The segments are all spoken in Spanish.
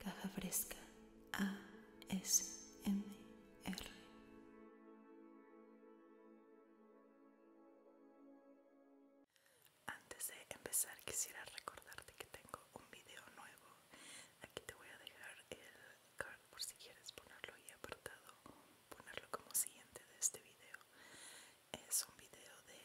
Caja Fresca ASMR. Antes de empezar quisiera recordarte que tengo un video nuevo. Aquí te voy a dejar el card por si quieres ponerlo ahí apartado, ponerlo como siguiente de este video. Es un video de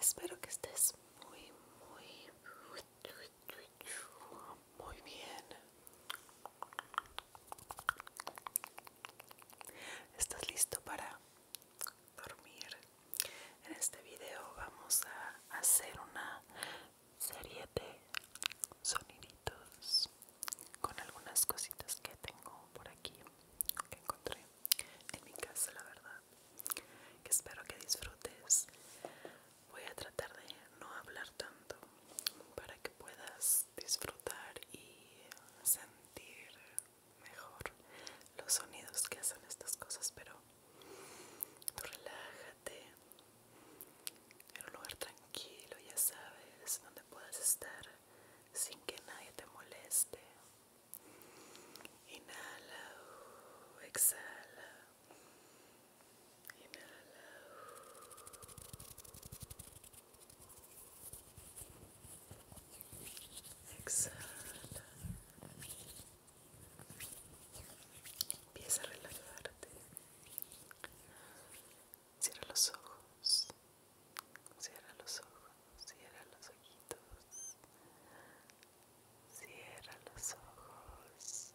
Espero que estés muy, muy, muy bien. ¿Estás listo para dormir? En este video vamos a hacer una serie de soniditos con algunas cositas que tengo por aquí que encontré en mi casa la verdad que espero que disfrutes voy a tratar de no hablar tanto para que puedas disfrutar y sentir mejor los sonidos que hacen estas cosas pero tú relájate en un lugar tranquilo ya sabes donde puedas estar sin que nadie te moleste. Inhala, exhala. Inhala. exhala. Empieza a relajarte. Cierra los ojos. Cierra los ojos. Cierra los ojitos. Cierra los ojos.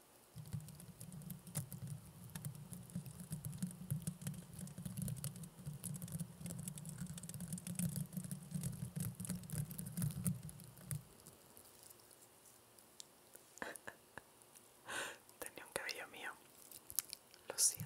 Tenía un cabello mío, lo siento.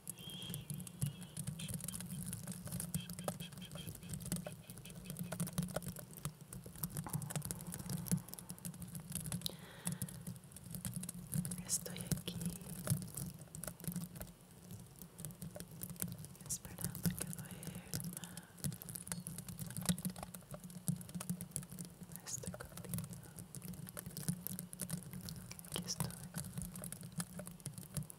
Estoy aquí esperando que duerma. Estoy contigo. Aquí estoy.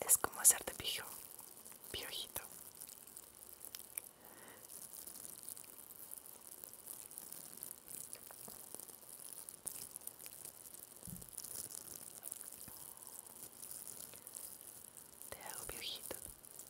Es como hacerte pijo, piojito. Te hago piojito.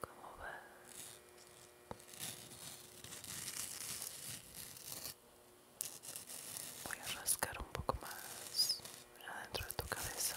¿Cómo va? Voy a rascar un poco más adentro de tu cabeza.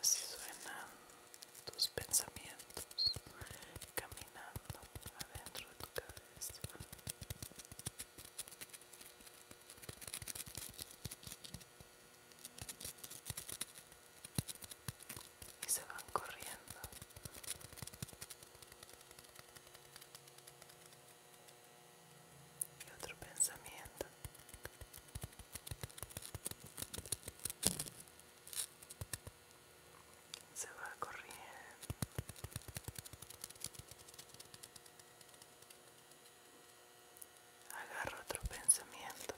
Así suenan tus pensamientos caminando adentro de tu cabeza. Y se van corriendo otro pensamiento se va corriendo agarro otro pensamiento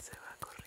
se va corriendo